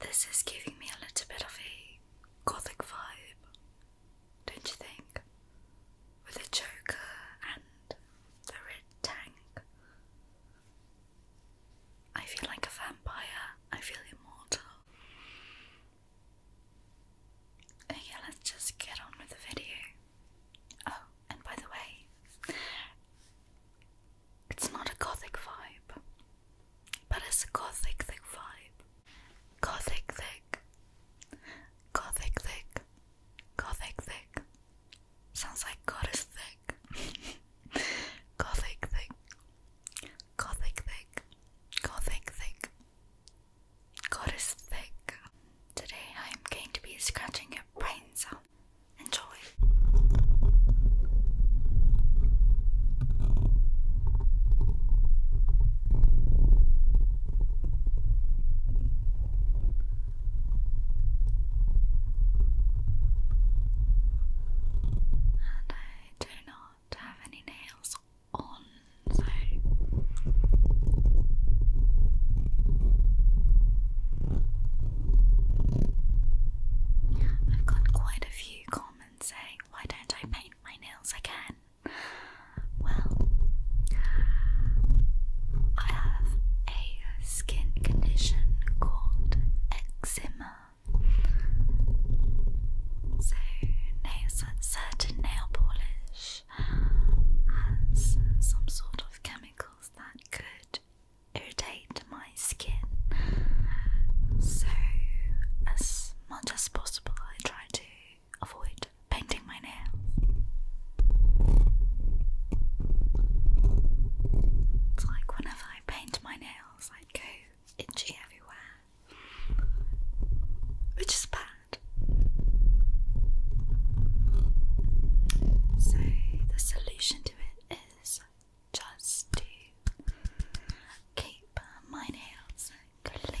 This is giving me a little bit of a gothic vibe, don't you think? With the Joker and the red tank. I feel like a vampire, I feel immortal. Okay, let's just get on with the video. Oh, and by the way, it's not a gothic vibe, but it's a gothic thick vibe. Gothic thick. Gothic thick. Gothic thick. Sounds like God is thick. gothic thick. Gothic thick. Gothic thick. God is thick. Today I am going to be scratching your brains out Enjoy. And I do not have any nails on, so I've got quite quite a few comments saying, Why don't I paint my nails again? Well, I have a skin condition called eczema. So, nails, certain nail polish has some sort of chemicals that could irritate my skin. So, as much as possible, I try to avoid painting my nails. It's like whenever I paint my nails, I go itchy everywhere, which is bad. So, the solution to it is just to keep my nails clean.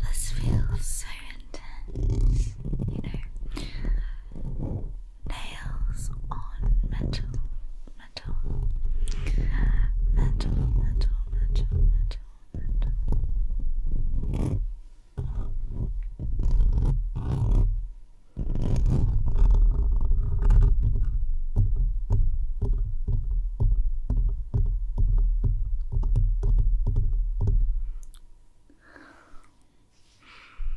This feels so intense, you know. Nails on metal, metal, metal, metal, metal, metal,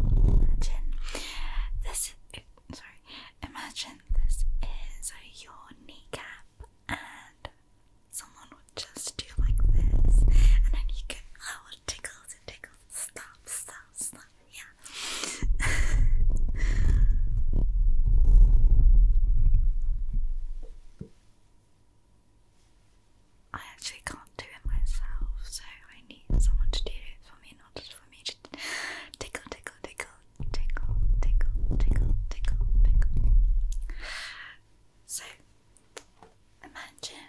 Imagine this. Sorry. Imagine this is your kneecap, and someone would just do like this, and then you can. Oh, it tickles! It Stop! Stop! Stop! Yeah. I actually can't do it myself, so I need someone to do it for me, not just for me to tickle, tickle, tickle, tickle, tickle, tickle, tickle, tickle. So, imagine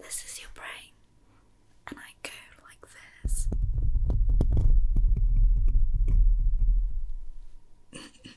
this is your brain, and I go like this.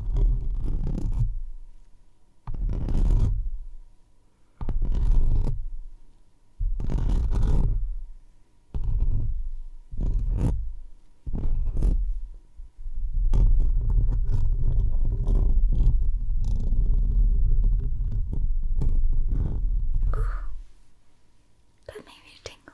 That made me tingle.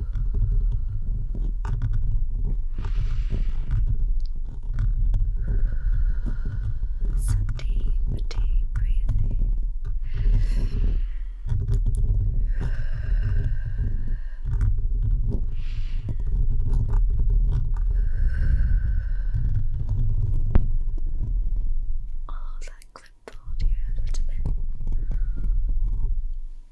Some deep, deep breathing. Oh, that clipboard here a little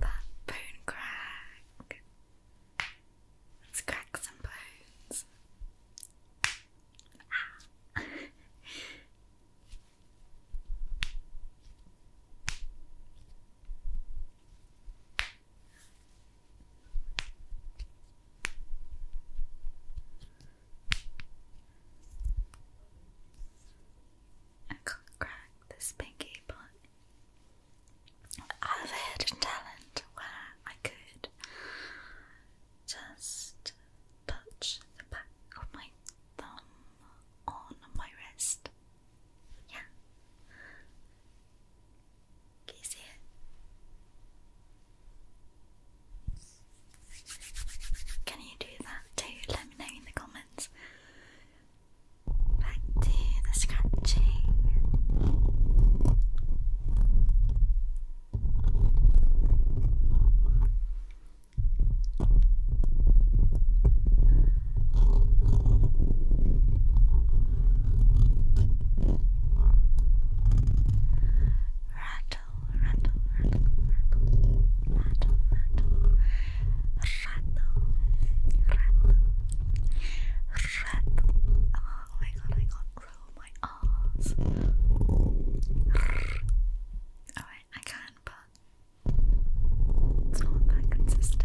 That bone crack. Let's crack some bones. I can't crack this pinky, but I have a hidden talent where I could just touch the back of my thumb on my wrist. Yeah. Can you see it? Can you do that too? Let me know in the comments. Back to the scratching. Right, rattle, rattle, rattle, rattle, rattle, rattle, rattle, rattle. Oh my god, I can't roll my R's. Alright, I can, but it's not that consistent.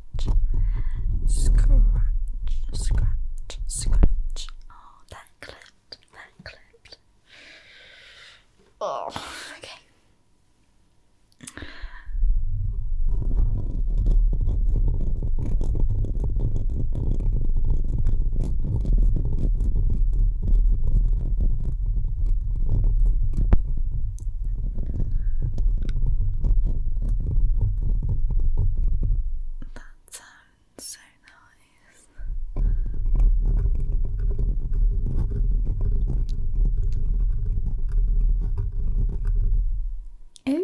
scratch, scratch, scratch, Oh, that clipped, that clipped. Oh, okay. That sounds so nice. Oh.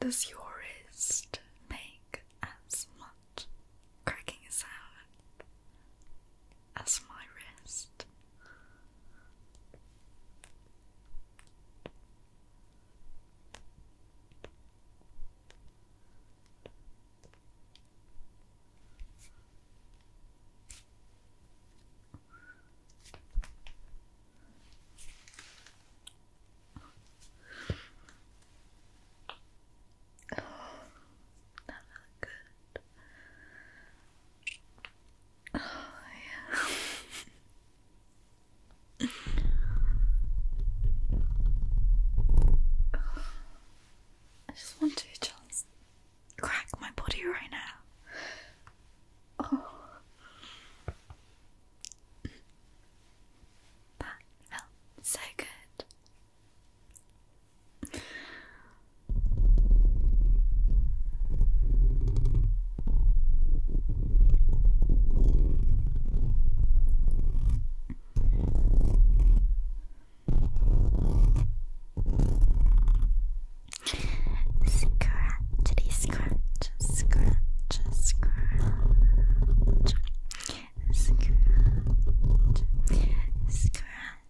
Does your wrist make as much cracking sound as my wrist. Oh, that good. Oh, yeah. I just want to just crack my body right now. Oh. That felt so good. Scratchity scratch, scratch, scratch, scratch, scratch.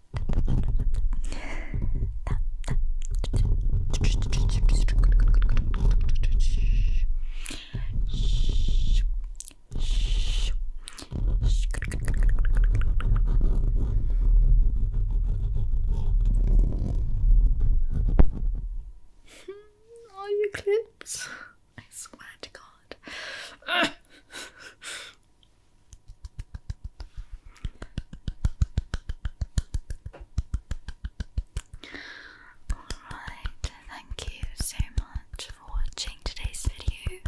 Are you clips? I swear to God. Alright, thank you so much for watching today's video.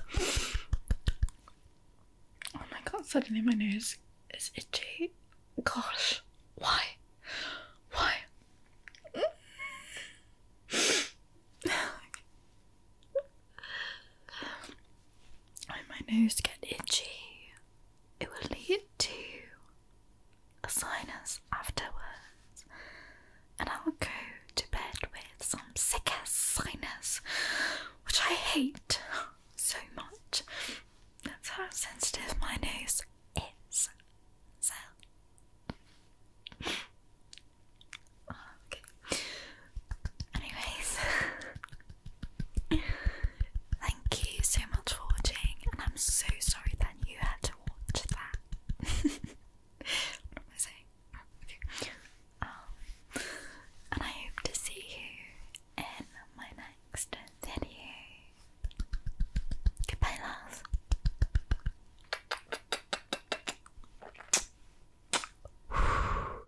oh my god, suddenly my nose is itchy. Gosh, why? Why? When my nose gets itchy, it will lead to a sinus afterwards, and I'll go to bed with some sick ass sinus, which I hate so much. That's how sensitive my nose is. okay. Anyways, thank you so much for watching, and I'm so sorry that you had to watch that. what am I saying? Um, and I hope to see you in my next video. Goodbye, love.